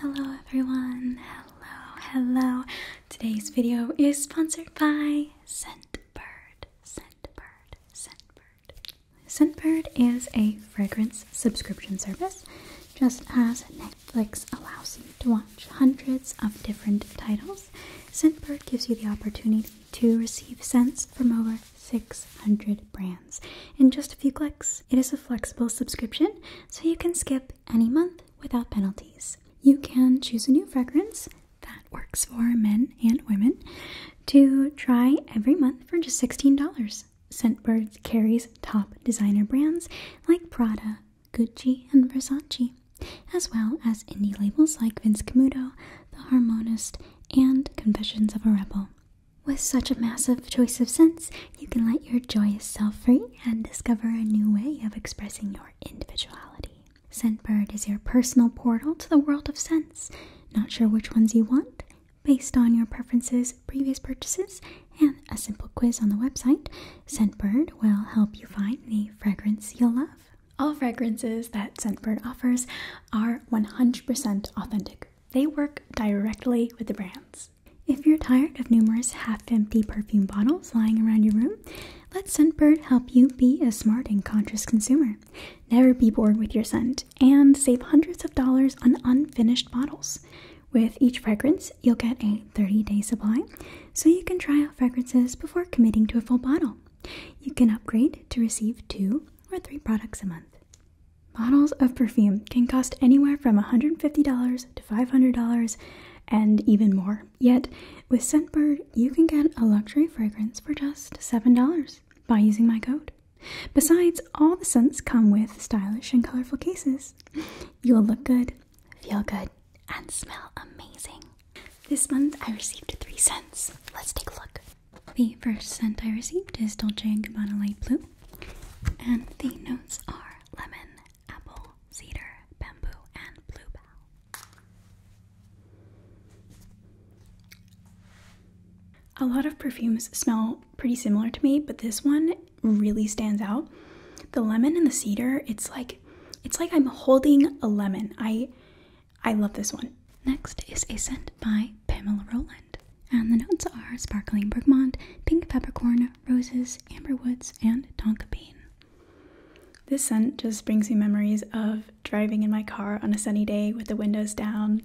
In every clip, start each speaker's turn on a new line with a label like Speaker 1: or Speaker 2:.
Speaker 1: Hello everyone, hello, hello. Today's video is sponsored by Scentbird. Scentbird, Scentbird. Scentbird is a fragrance subscription service, just as Netflix allows you to watch hundreds of different titles. Scentbird gives you the opportunity to receive scents from over 600 brands in just a few clicks. It is a flexible subscription, so you can skip any month without penalties. You can choose a new fragrance that works for men and women to try every month for just $16. Scentbird carries top designer brands like Prada, Gucci, and Versace, as well as indie labels like Vince Camuto, The Harmonist, and Confessions of a Rebel. With such a massive choice of scents, you can let your joyous self free and discover a new way of expressing your individuality. Scentbird is your personal portal to the world of scents. Not sure which ones you want? Based on your preferences, previous purchases, and a simple quiz on the website, Scentbird will help you find the fragrance you'll love. All fragrances that Scentbird offers are 100% authentic they work directly with the brands. If you're tired of numerous half empty perfume bottles lying around your room, let Scentbird help you be a smart and conscious consumer. Never be bored with your scent and save hundreds of dollars on unfinished bottles. With each fragrance, you'll get a 30 day supply so you can try out fragrances before committing to a full bottle. You can upgrade to receive two or three products a month. Bottles of perfume can cost anywhere from $150 to $500 and even more. Yet, with Scentbird, you can get a luxury fragrance for just $7 by using my code. Besides, all the scents come with stylish and colorful cases. You'll look good, feel good, and smell amazing. This month I received three scents. Let's take a look. The first scent I received is Dolce & Gabbana Light Blue, and the notes are lemon, apple, cedar, bamboo, and bluebell. A lot of perfumes smell pretty similar to me, but this one really stands out. The lemon and the cedar, it's like it's like I'm holding a lemon. I I love this one. Next is a scent by Pamela Roland. And the notes are sparkling bergamot, pink peppercorn, roses, amberwoods, and tonka bean. This scent just brings me memories of driving in my car on a sunny day with the windows down.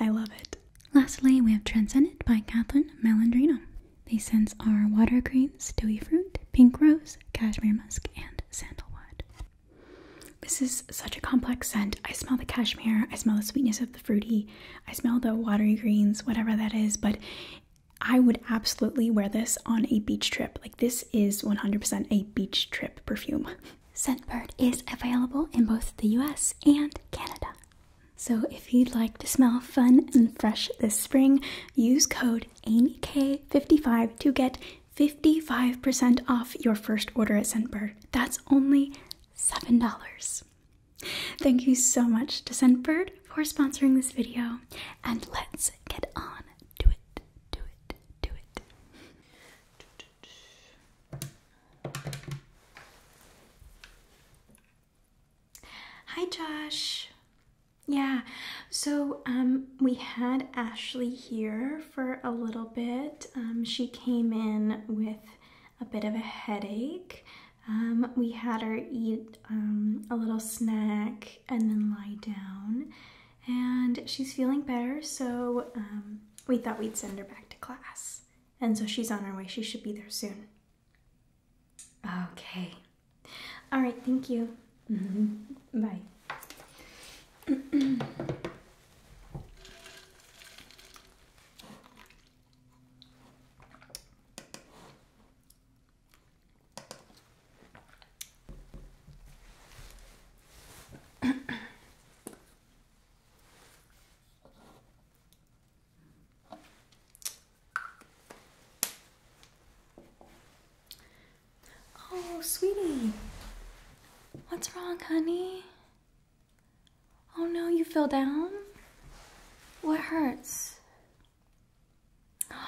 Speaker 1: I love it. Lastly, we have Transcendent by Kathleen Malandrino. These scents are water greens, dewy fruit, pink rose, cashmere musk, and sandalwood. This is such a complex scent. I smell the cashmere, I smell the sweetness of the fruity, I smell the watery greens, whatever that is, but I would absolutely wear this on a beach trip. Like, this is 100% a beach trip perfume. Scentbird is available in both the US and Canada. So, if you'd like to smell fun and fresh this spring, use code AMYK55 to get 55% off your first order at Scentbird. That's only $7. Thank you so much to Sendbird for sponsoring this video, and let's get on to it. Do it. Do it. Hi, Josh. Yeah, so um, we had Ashley here for a little bit. Um, she came in with a bit of a headache um, we had her eat um, a little snack and then lie down, and she's feeling better, so um, we thought we'd send her back to class. And so she's on her way, she should be there soon. Okay. All right, thank you. Mm-hmm. Bye. oh, sweetie, what's wrong, honey? Oh no, you fell down? What hurts? Your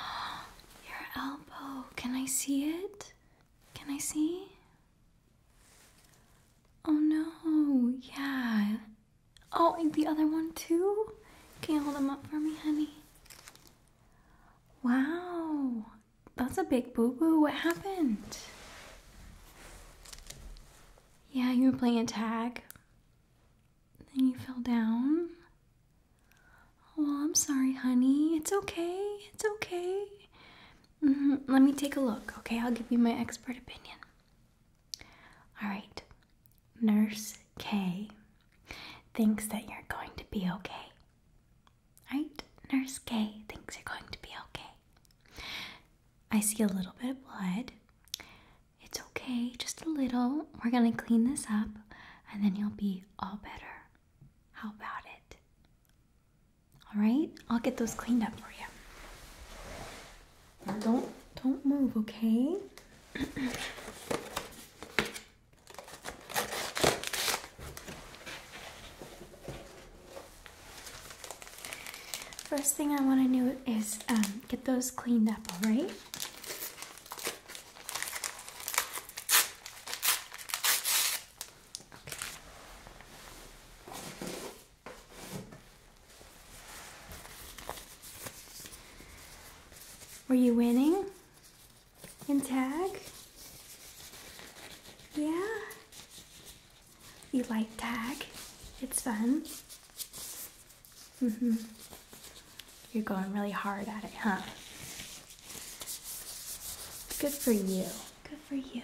Speaker 1: elbow. Can I see it? Can I see? Oh no, yeah. Oh, the other one too? Can you hold them up for me, honey? Wow, that's a big boo boo. What happened? Yeah, you were playing tag. Then you fell down. Oh, I'm sorry, honey. It's okay. It's okay. Mm-hmm. Let me take a look, okay? I'll give you my expert opinion. All right. Nurse K thinks that you're going to be okay. All right? Nurse K thinks you're going to be okay. I see a little bit of blood. It's okay, just a little. We're gonna clean this up and then you'll be all better. How about it? All right, I'll get those cleaned up for you. don't don't move, okay? First thing I want to do is um, get those cleaned up, all right? Were you winning in tag? Yeah? You like tag? It's fun. Mm-hmm. You're going really hard at it, huh? Good for you. Good for you.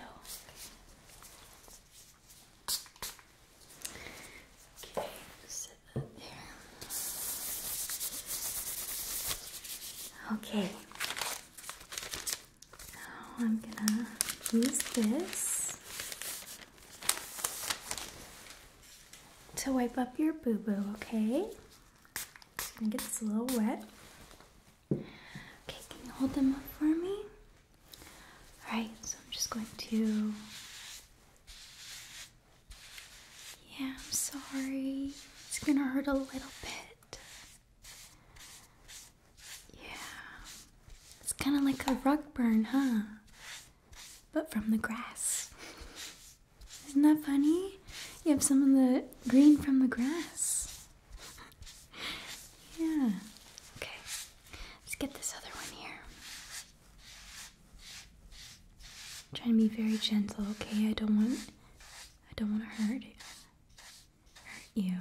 Speaker 1: Okay, Okay. Now I'm gonna use this to wipe up your boo boo, okay? Just gonna get this a little wet. Okay, can you hold them up for me? Alright, so I'm just going to. Yeah, I'm sorry. It's gonna hurt a little bit. Yeah. It's kind of like a rug burn, huh? but from the grass. Isn't that funny? You have some of the green from the grass. yeah. Okay. Let's get this other one here. trying to be very gentle, okay? I don't want I don't want to hurt Hurt you.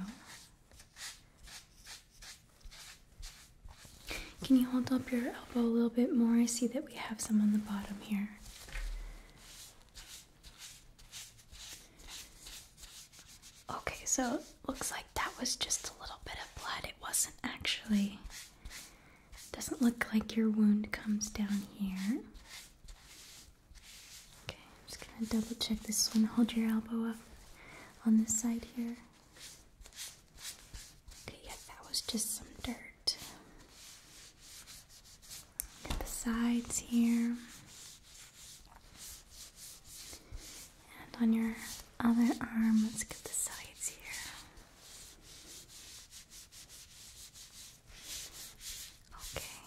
Speaker 1: Can you hold up your elbow a little bit more? I see that we have some on the bottom here. Okay, so it looks like that was just a little bit of blood. It wasn't actually. doesn't look like your wound comes down here. Okay, I'm just gonna double check this one. Hold your elbow up on this side here. Okay, yeah, that was just some dirt. Got the sides here. And on your other arm, let's get the sides here. Okay.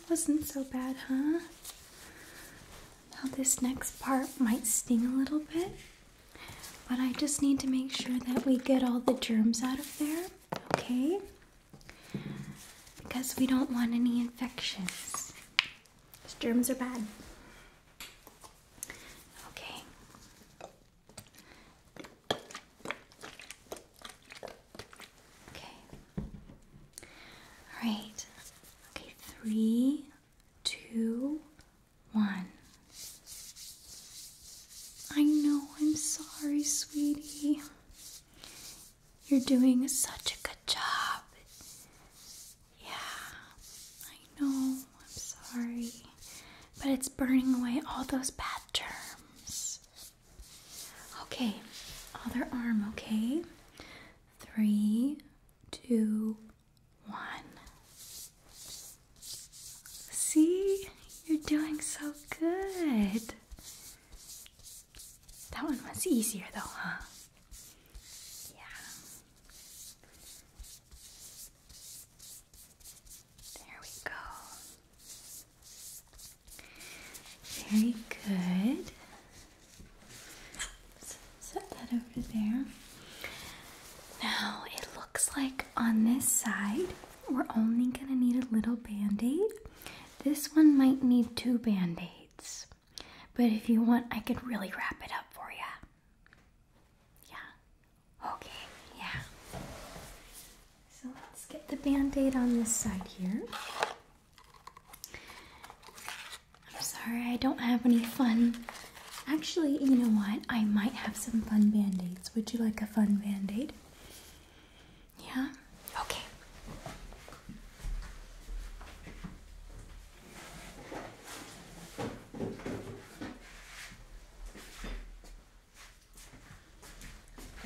Speaker 1: That wasn't so bad, huh? Now, this next part might sting a little bit, but I just need to make sure that we get all the germs out of there, okay? Because we don't want any infections. germs are bad. Okay. Okay. All right. Okay, three, two, one. I know, I'm sorry, sweetie. You're doing such a good job. Yeah, I know, I'm sorry. But it's burning away all those bad germs. Okay, other arm, okay? Three, two, one. See, you're doing so good. That one was easier though, huh? Yeah. There we go. Very good. Set that over there. Now it looks like on this side we're only going to need a little band aid. This one might need two band aids, but if you want, I could really wrap it up for you. Yeah. Okay, yeah. So let's get the band aid on this side here. I'm sorry, I don't have any fun. Actually, you know what? I might have some fun band aids. Would you like a fun band aid? Yeah? Okay.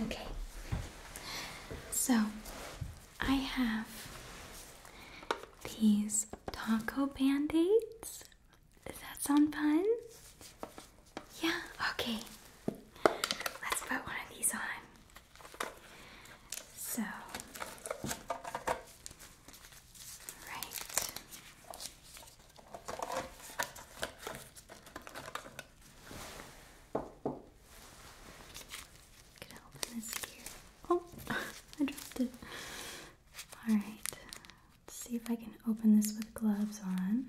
Speaker 1: Okay. So, I have these taco band-aids. Does that sound fun? Yeah, okay. Let's put one of these on. So, right. Could open this here. Oh, I dropped it. All right. Let's see if I can open this with gloves on.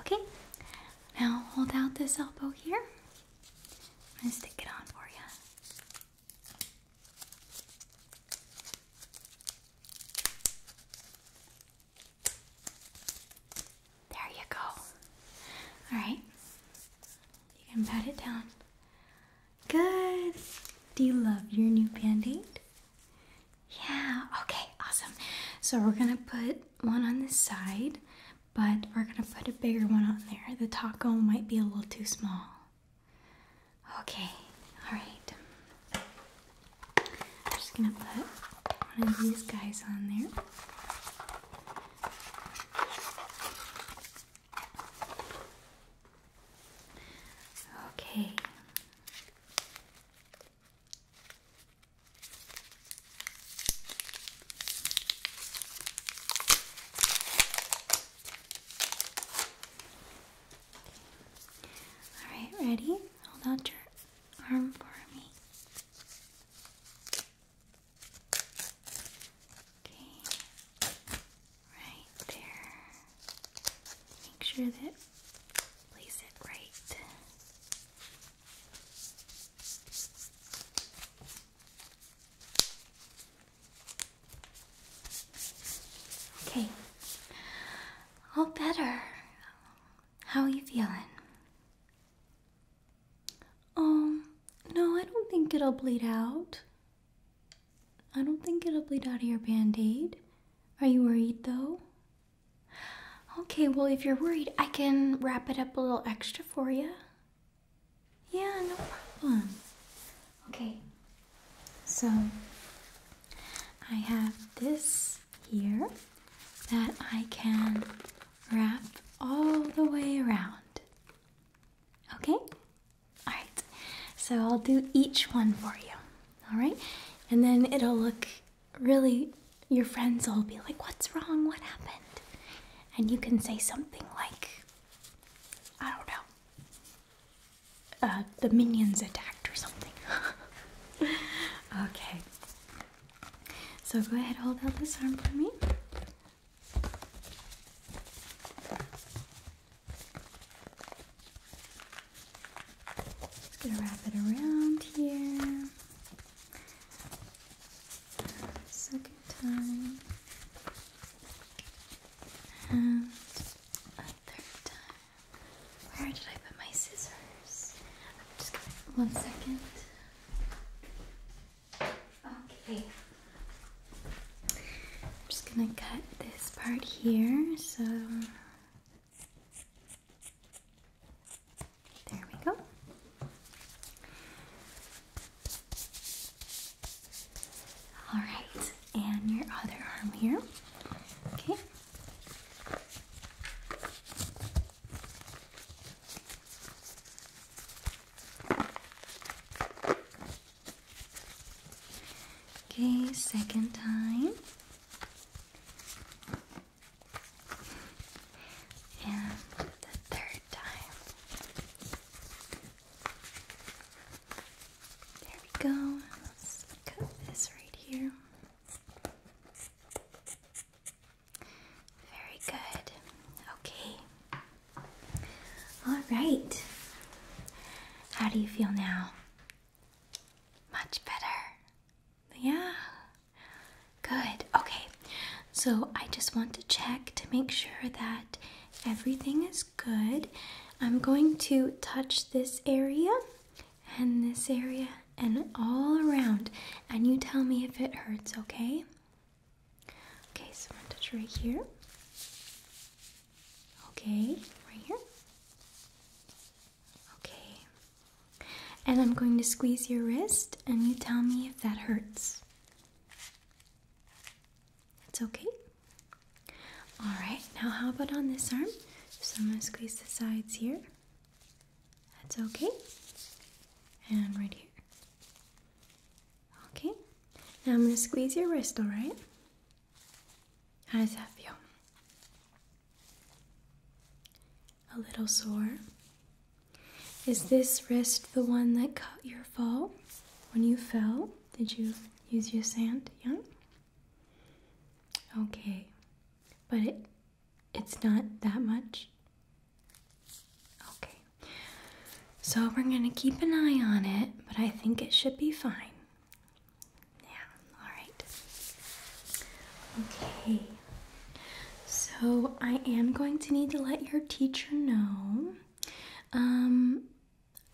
Speaker 1: Okay. Now hold out this elbow here. I'm stick it on for you. There you go. All right. You can pat it down. Good. Do you love your new band aid? Yeah. Okay. Awesome. So we're going to put one on the side, but we're going to put a bigger one on there. The taco might be a little too small. Okay, alright. I'm just gonna put one of these guys on there. Okay. Alright, ready? Hold out your arm for me. Okay, right there. Make sure that place it right. Okay. All better. How are you feeling? Um, no, I don't think it'll bleed out. I don't think it'll bleed out of your band aid. Are you worried though? Okay, well, if you're worried, I can wrap it up a little extra for you. Yeah, no problem. Okay, so I have this here that I can wrap all the way around. Okay? Alright, so I'll do each one for you. Alright? And then it'll look really, your friends will be like, What's wrong? What happened? And you can say something like, I don't know uh, the minions attacked or something. okay. So go ahead, hold out this arm for me. Just gonna wrap it around here. Second time. And a third time. Where did I put my scissors? I'm just gonna one second. Okay. I'm just gonna cut this part here, so there we go. All right, and your other arm here. Okay. Okay, second time. And the third time. There we go. cut this right here. Very good. Okay. All right. How do you feel now? Much better. Yeah. Good. Okay. So I just want to check to make sure that everything is good. I'm going to touch this area and this area and all around, and you tell me if it hurts, okay? Okay, so I'm gonna touch right here. Okay, right here. Okay. And I'm going to squeeze your wrist, and you tell me if that hurts. It's okay? Alright, now how about on this arm? So I'm going to squeeze the sides here. That's okay. And right here. Okay. Now I'm going to squeeze your wrist, alright? How does that feel? A little sore. Is this wrist the one that cut your fall when you fell? Did you use your sand? Yeah? Okay. But it it's not that much. Okay. So we're going to keep an eye on it, but I think it should be fine. Yeah, all right. Okay. So I am going to need to let your teacher know. Um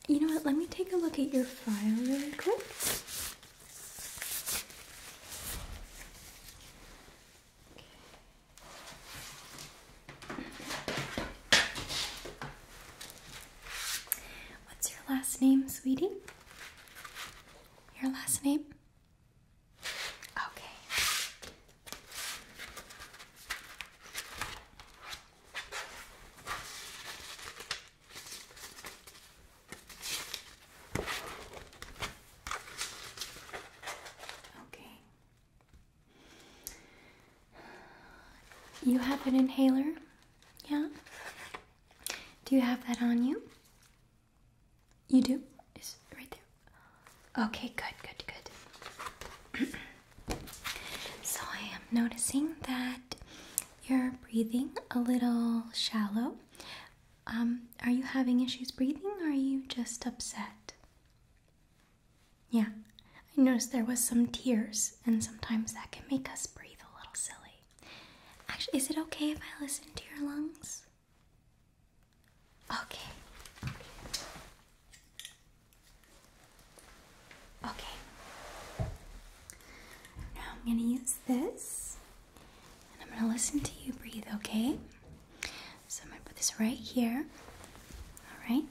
Speaker 1: you know what? Let me take a look at your file really quick. What's your last name, sweetie? Your last name? Okay. Okay. You have an inhaler? Yeah? Do you have that on you? You do? It's right there. Okay, good, good, good. so I am noticing that you're breathing a little shallow. Um, are you having issues breathing or are you just upset? Yeah, I noticed there was some tears, and sometimes that can make us breathe a little silly. Actually, is it okay if I listen to your lungs? Okay. Okay. Now I'm going to use this and I'm going to listen to you breathe, okay? So I'm going to put this right here. All right.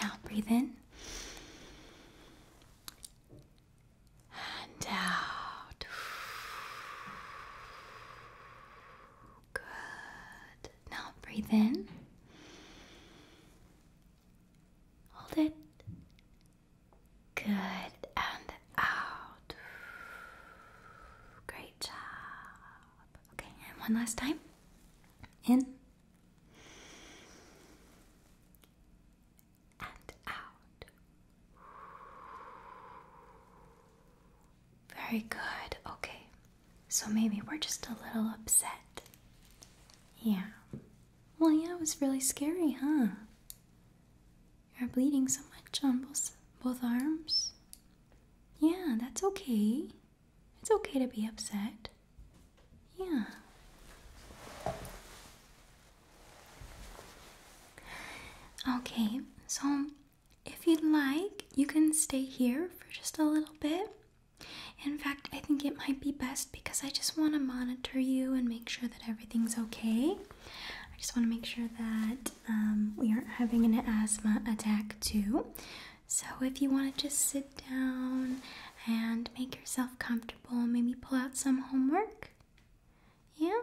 Speaker 1: Now breathe in. And out. Good. Now breathe in. Hold it. Good. And out. Great job. Okay, and one last time. In. And out. Very good. Okay. So maybe we're just a little upset. Yeah. Well, yeah, it was really scary, huh? You're bleeding so much on both, both arms. Yeah, that's okay. It's okay to be upset. Yeah. Okay, so if you'd like, you can stay here for just a little bit. In fact, I think it might be best because I just want to monitor you and make sure that everything's okay. I just want to make sure that um, we aren't having an asthma attack too. So, if you want to just sit down and make yourself comfortable, maybe pull out some homework. Yeah?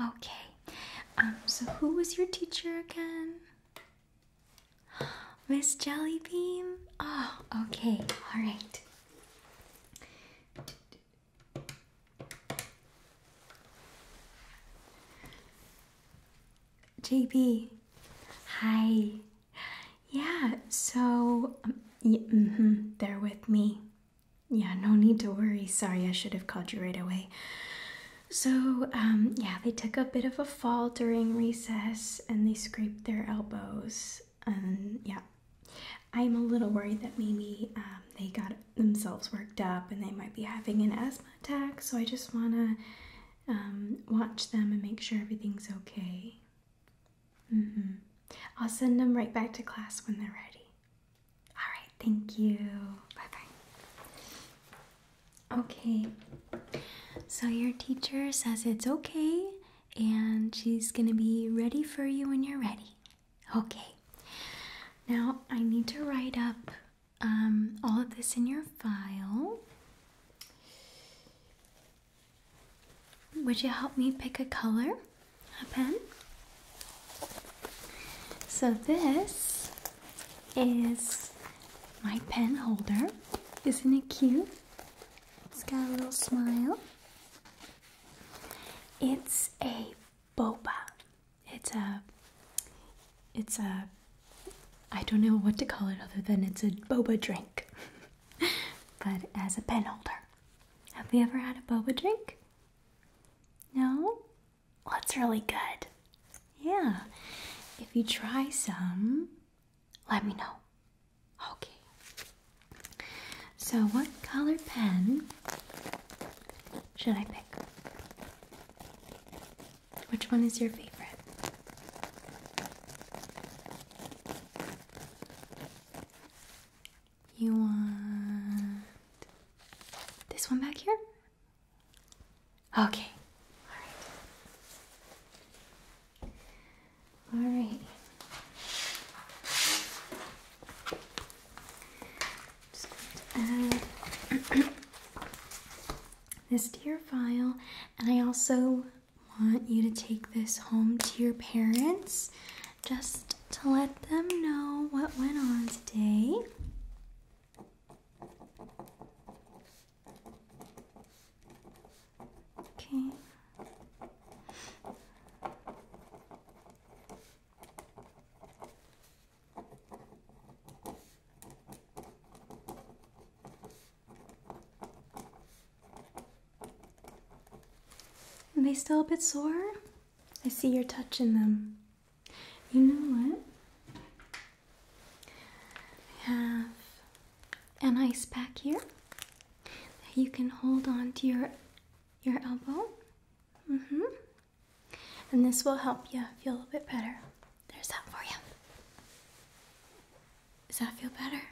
Speaker 1: Okay. Um, so, who was your teacher again? Miss Jellybean? Oh, okay, all right. JB, hi. Yeah, so um, yeah, mm-hmm, they're with me. Yeah, no need to worry. Sorry, I should have called you right away. So, um, yeah, they took a bit of a fall during recess and they scraped their elbows and um, yeah i'm a little worried that maybe um, they got themselves worked up and they might be having an asthma attack so i just want to um, watch them and make sure everything's okay mm -hmm. i'll send them right back to class when they're ready all right thank you bye bye okay so your teacher says it's okay and she's gonna be ready for you when you're ready. Okay, now I need to write up um, all of this in your file. Would you help me pick a color? A pen? So, this is my pen holder. Isn't it cute? It's got a little smile. It's a boba. It's a it's a I don't know what to call it other than it's a boba drink. but as a pen holder. Have you ever had a boba drink? No? Well, really good. Yeah. If you try some, let me know. Okay. So, what color pen should I pick? Which one is your favorite? You want this one back here? Okay. All right. Just add this to your file, and I also want you to take this home to your parents just to let them know what went on today. Okay. Are they still a bit sore? I see you're touching them. You know what? I have an ice pack here you can hold on to your your elbow. Mm-hmm. And this will help you feel a bit better. There's that for you. Does that feel better?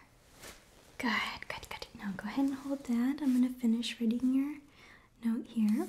Speaker 1: Good, good, good. Now go ahead and hold that. I'm gonna finish writing your note here.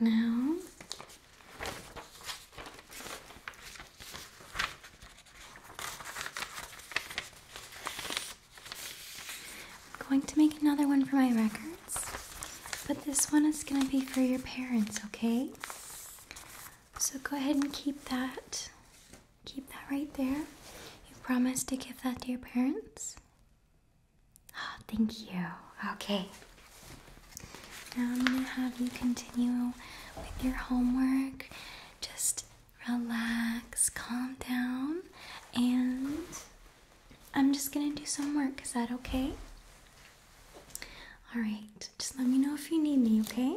Speaker 1: now. I'm going to make another one for my records, but this one is going to be for your parents, okay? So go ahead and keep that. Keep that right there. You promised to give that to your parents? Oh, thank you. Okay. Now I'm going to have you continue with your homework. Just relax, calm down, and I'm just going to do some work. Is that okay? Alright, just let me know if you need me, okay?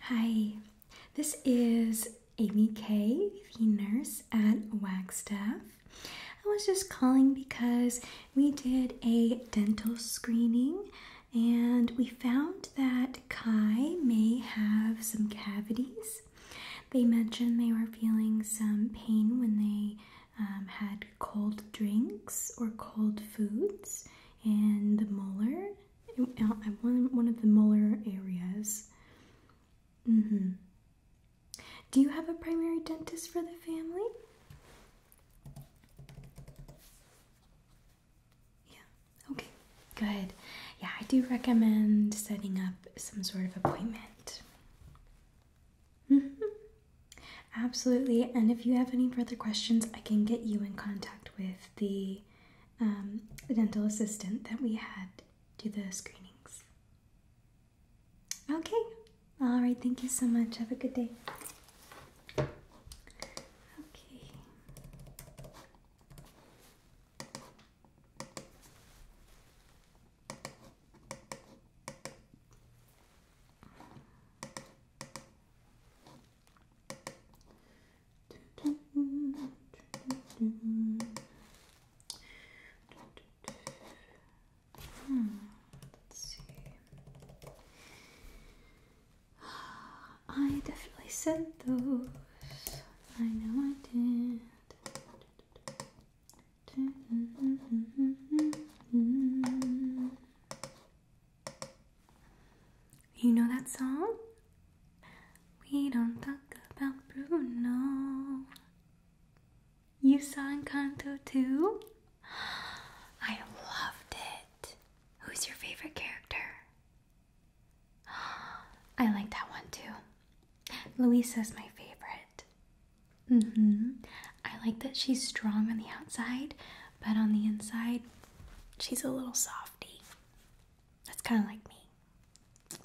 Speaker 1: Hi, this is Amy Kay, the nurse at Wagstaff. I was just calling because we did a dental screening and we found that Kai may have some cavities. They mentioned they were feeling some pain when they um, had cold drinks or cold foods, and the molar, uh, one one of the molar areas. Mm-hmm. Do you have a primary dentist for the family? Yeah. Okay. Good. Yeah, I do recommend setting up some sort of appointment. Absolutely. And if you have any further questions, I can get you in contact with the um, dental assistant that we had do the screenings. Okay. All right. Thank you so much. Have a good day. Okay. Hmm. let's see. I definitely sent those. I know I did. You know that song? We don't talk about Bruno. You saw Encanto too? I loved it. Who's your favorite character? I like that one too. Luisa's my favorite. Mm-hmm. I like that she's strong on the outside, but on the inside, she's a little softy. That's kind of like me.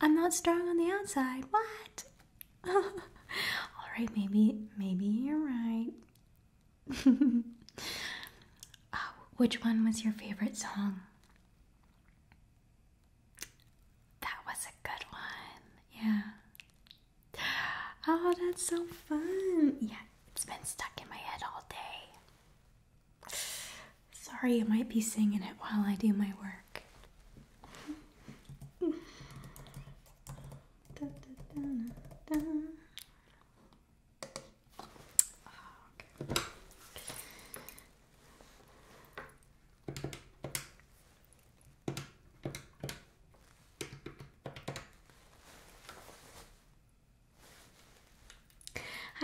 Speaker 1: I'm not strong on the outside. What? All right, maybe, maybe you're right. Oh, which one was your favorite song? That was a good one. Yeah. Oh, that's so fun. Yeah, it's been stuck in my head all day. Sorry, I might be singing it while I do my work.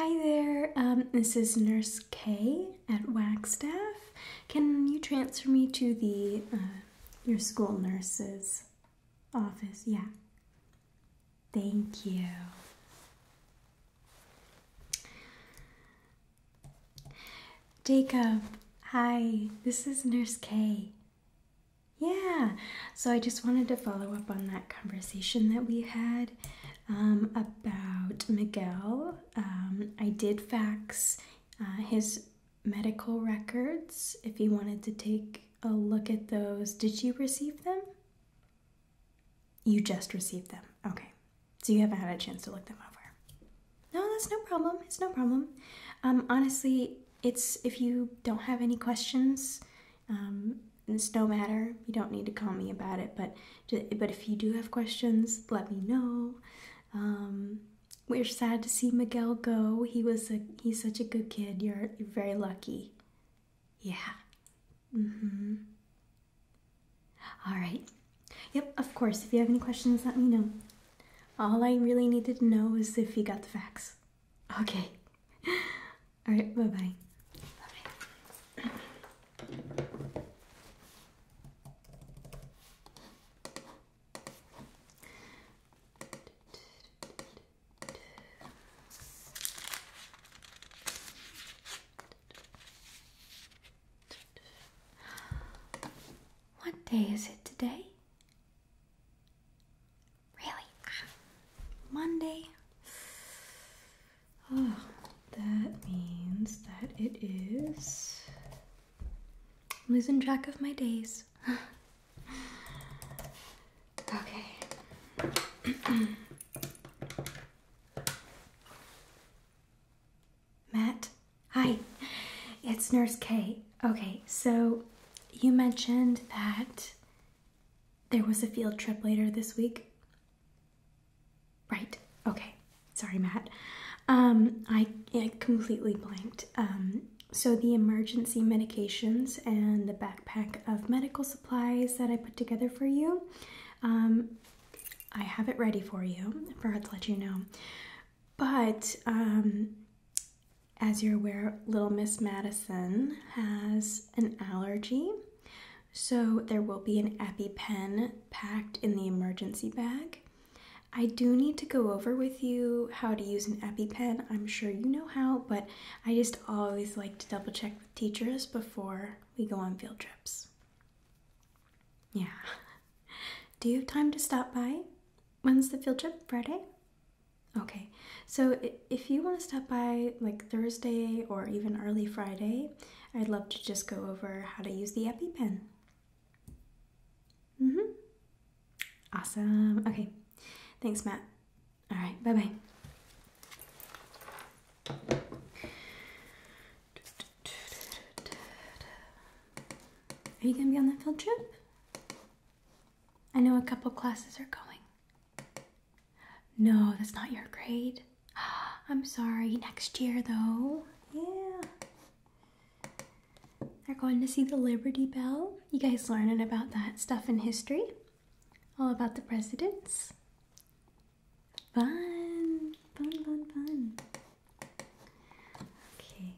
Speaker 1: Hi there, um, this is Nurse K at Staff. Can you transfer me to the uh, your school nurse's office? Yeah. Thank you. Jacob, hi, this is Nurse K. Yeah, so I just wanted to follow up on that conversation that we had um, about Miguel. Um, I did fax uh, his medical records if you wanted to take a look at those. Did you receive them? You just received them. Okay, so you haven't had a chance to look them over. No, that's no problem. It's no problem. Um, honestly, it's if you don't have any questions, um, it's no matter. You don't need to call me about it. But but if you do have questions, let me know. Um, we're sad to see Miguel go. He was a he's such a good kid. You're you're very lucky. Yeah. Mm-hmm. All right. Yep, of course. If you have any questions, let me know. All I really needed to know is if he got the facts. Okay. All right, bye bye. Bye bye. What day is it today? Really? Monday? Oh, that means that it is. I'm losing track of my days. okay. Matt, hi. It's Nurse Kay. Okay, so you mentioned that there was a field trip later this week. Right. Okay. Sorry, Matt. Um, I, I completely blanked. Um, so, the emergency medications and the backpack of medical supplies that I put together for you, um, I have it ready for you, I forgot to let you know. But um, as you're aware, Little Miss Madison has an allergy. So there will be an EpiPen packed in the emergency bag. I do need to go over with you how to use an EpiPen. I'm sure you know how, but I just always like to double check with teachers before we go on field trips. Yeah. Do you have time to stop by? When's the field trip? Friday? Okay, so if you want to stop by like Thursday or even early Friday, I'd love to just go over how to use the EpiPen. Mm hmm. Awesome. Okay, thanks, Matt. All right, bye bye. Are you going to be on that field trip? I know a couple classes are going. No, that's not your grade. I'm sorry, next year though. Yeah. They're going to see the Liberty Bell. You guys learning about that stuff in history? All about the presidents? Fun, fun, fun, fun. Okay.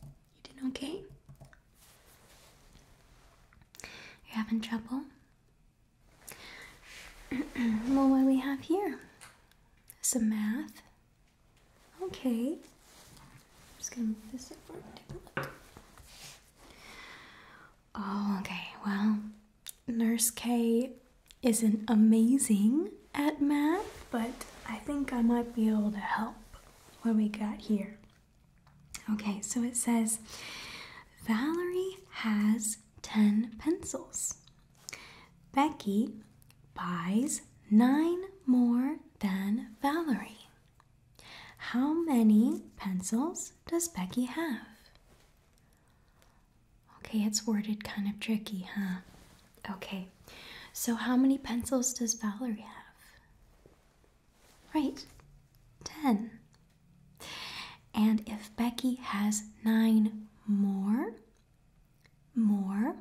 Speaker 1: You doing okay? You're having trouble? well, what we have here? Some math. Okay. I'm just gonna move this over. Oh, okay. Well, Nurse K isn't amazing at math, but I think I might be able to help. When we got here? Okay, so it says Valerie has 10 pencils. Becky buys 9 more than Valerie. How many pencils does Becky have? Okay, it's worded kind of tricky, huh? Okay, so how many pencils does Valerie have? Right, 10. And if Becky has nine more, more,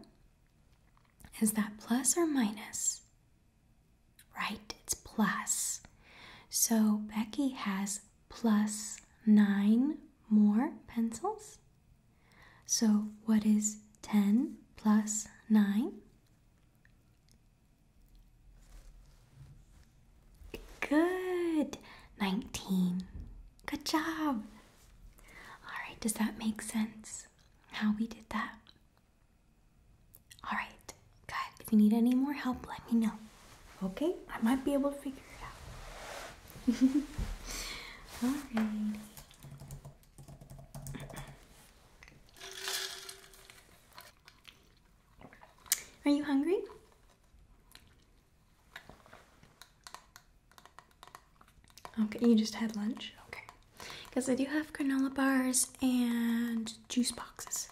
Speaker 1: is that plus or minus? Right, it's plus. So Becky has 9 more pencils. So, what is 10 plus 9? Good! 19. Good job! Alright, does that make sense how we did that? Alright, Good. If you need any more help, let me know. Okay? I might be able to figure it out. Alrighty. Are you hungry? Okay, you just had lunch? Okay. Because I do have granola bars and juice boxes.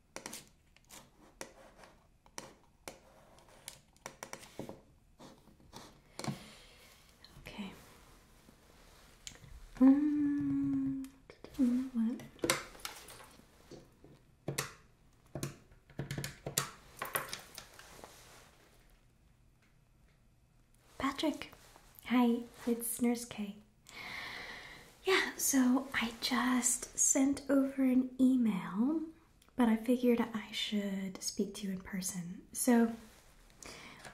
Speaker 1: Okay. Um, what? Patrick! Hi, it's Nurse K. Yeah, so I just sent over an email, but I figured I should speak to you in person. So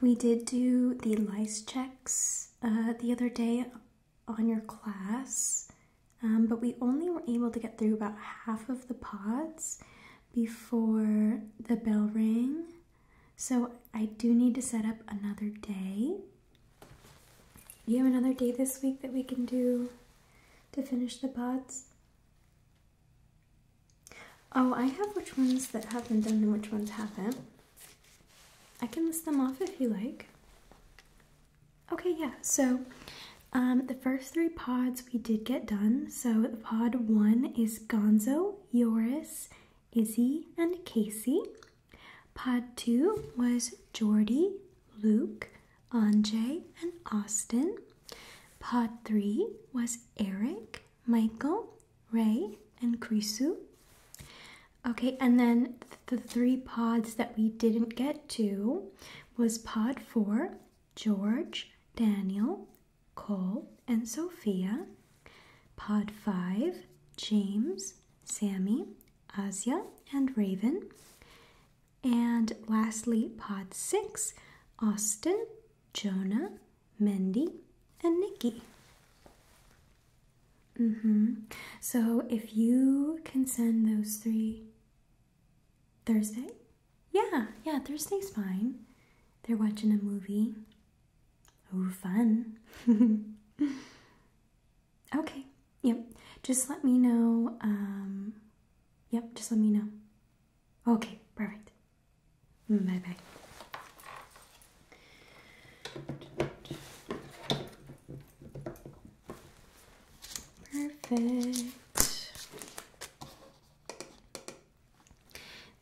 Speaker 1: we did do the lice checks uh, the other day on your class, um, but we only were able to get through about half of the pods before the bell rang. So I do need to set up another day. You have another day this week that we can do to finish the pods? Oh, I have which ones that have been done and which ones haven't. I can list them off if you like. Okay, yeah, so um, the first three pods we did get done. So the pod one is Gonzo, Yoris, Izzy and Casey. Pod 2 was Jordy, Luke, Anjay, and Austin. Pod 3 was Eric, Michael, Ray, and Chrisu. Okay, and then the three pods that we didn't get to was pod 4, George, Daniel, Cole, and Sophia. Pod 5, James, Sammy, Asia and Raven. And lastly, pod six, Austin, Jonah, Mendy, and Nikki. Mm-hmm. So if you can send those three Thursday? Yeah, yeah, Thursday's fine. They're watching a movie. Oh, fun. Okay. Yep. Just let me know. Um, yep. Just let me know. Okay. Perfect. Bye bye. Perfect.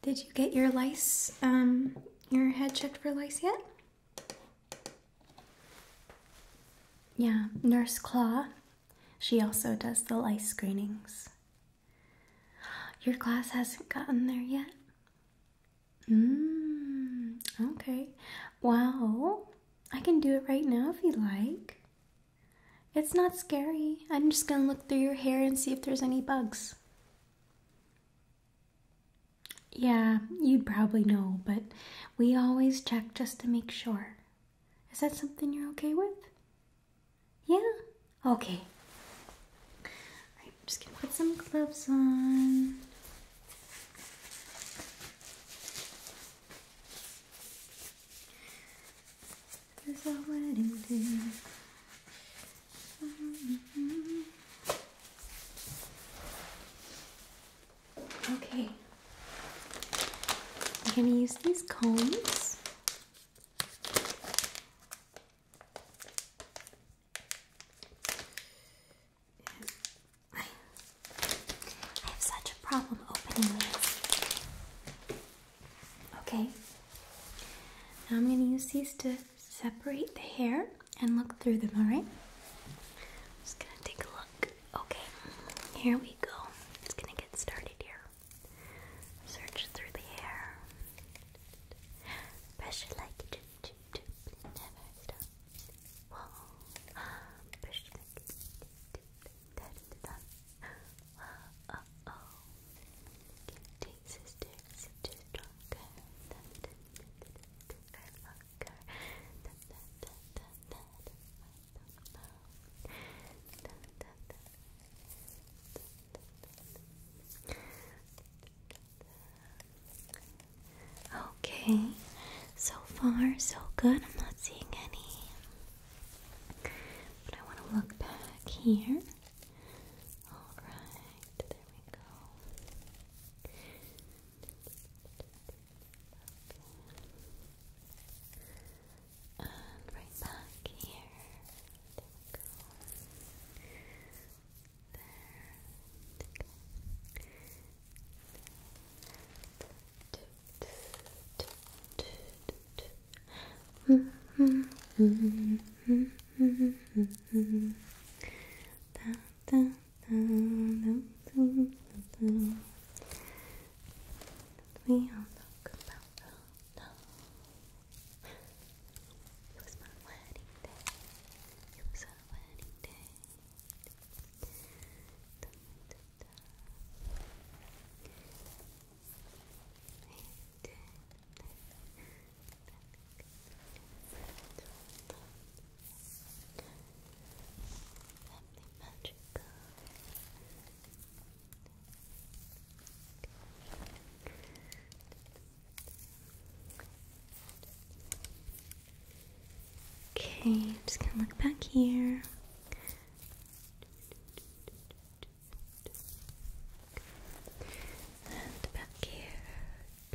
Speaker 1: Did you get your lice, um, your head checked for lice yet? Yeah, Nurse Claw. She also does the lice screenings. Your class hasn't gotten there yet? Mmm, okay. Wow, I can do it right now if you like. It's not scary. I'm just gonna look through your hair and see if there's any bugs. Yeah, you'd probably know, but we always check just to make sure. Is that something you're okay with? Yeah? Okay. I'm just gonna put some gloves on. There's a wedding day. Okay, I'm going to use these combs. I have such a problem opening this. Okay, now I'm going to use these to separate the hair and look through them, alright? just gonna take a look. Okay, here we go. It's gonna get started here. Search through the hair. Pressure like like Okay, so far so good. I'm not seeing any. But I want to look back here. Alright, there we go. And right back here. There we go. There. Okay. That we all talk about love. It was my wedding day. It was our wedding day. Okay, just gonna look back here. And back here.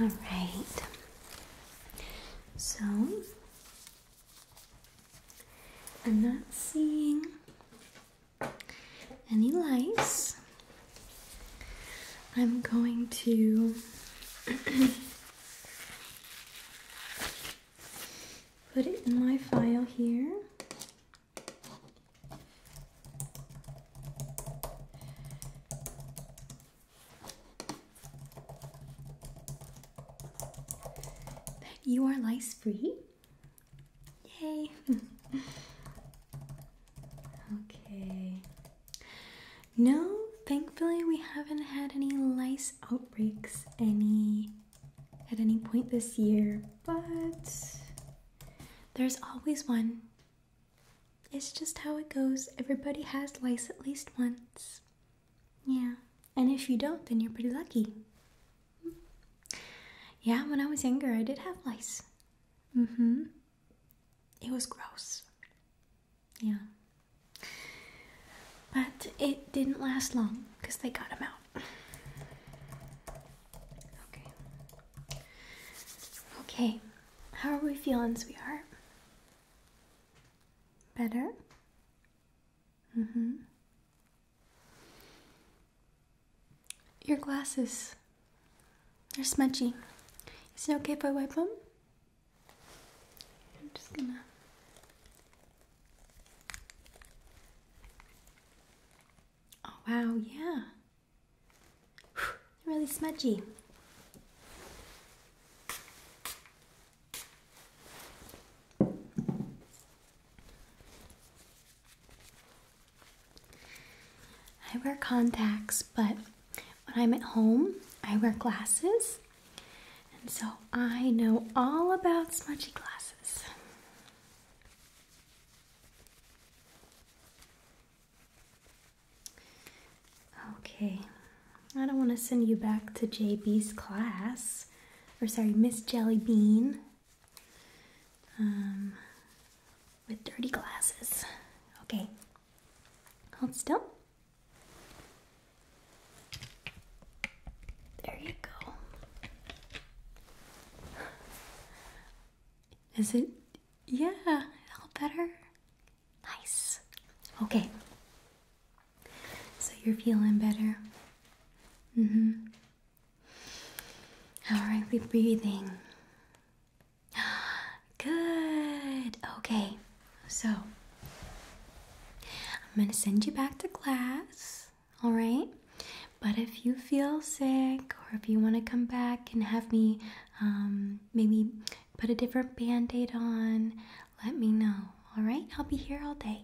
Speaker 1: All right. So I'm not seeing any lice. I'm going to Put it in my file here. you are lice free. Yay! okay. No, thankfully we haven't had any lice outbreaks any at any point this year, but there's always one. It's just how it goes. Everybody has lice at least once. Yeah. And if you don't, then you're pretty lucky. Yeah, when I was younger, I did have lice. Mm hmm. It was gross. Yeah. But it didn't last long because they got him out. Okay. Okay. How are we feeling, sweetheart? Better? Mm hmm. Your glasses. They're smudgy. Is it okay if I wipe them? I'm just gonna Oh wow, yeah. Really smudgy. I wear contacts, but when I'm at home, I wear glasses, and so I know all about smudgy glasses. Okay, I don't want to send you back to JB's class, or sorry, Miss Jellybean, um, with dirty glasses. Okay, hold still. There you go. Is it? Yeah, all better. Nice. Okay. So you're feeling better. Mm-hmm. are right, breathing. Good. Okay. So, I'm going to send you back to class. All right? But if you feel sick or if you want to come back and have me um, maybe put a different band aid on, let me know. All right? I'll be here all day.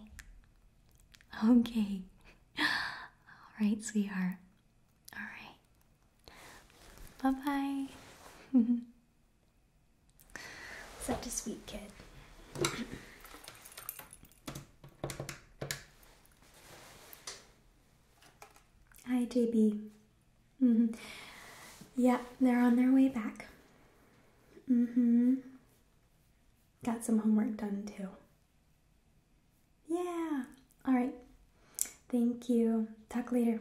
Speaker 1: Okay. All right, sweetheart. All right. Bye bye. Such a sweet kid. Hi, JB. Mm -hmm. Yeah, they're on their way back. Mm hmm. Got some homework done too. Yeah. All right. Thank you. Talk later.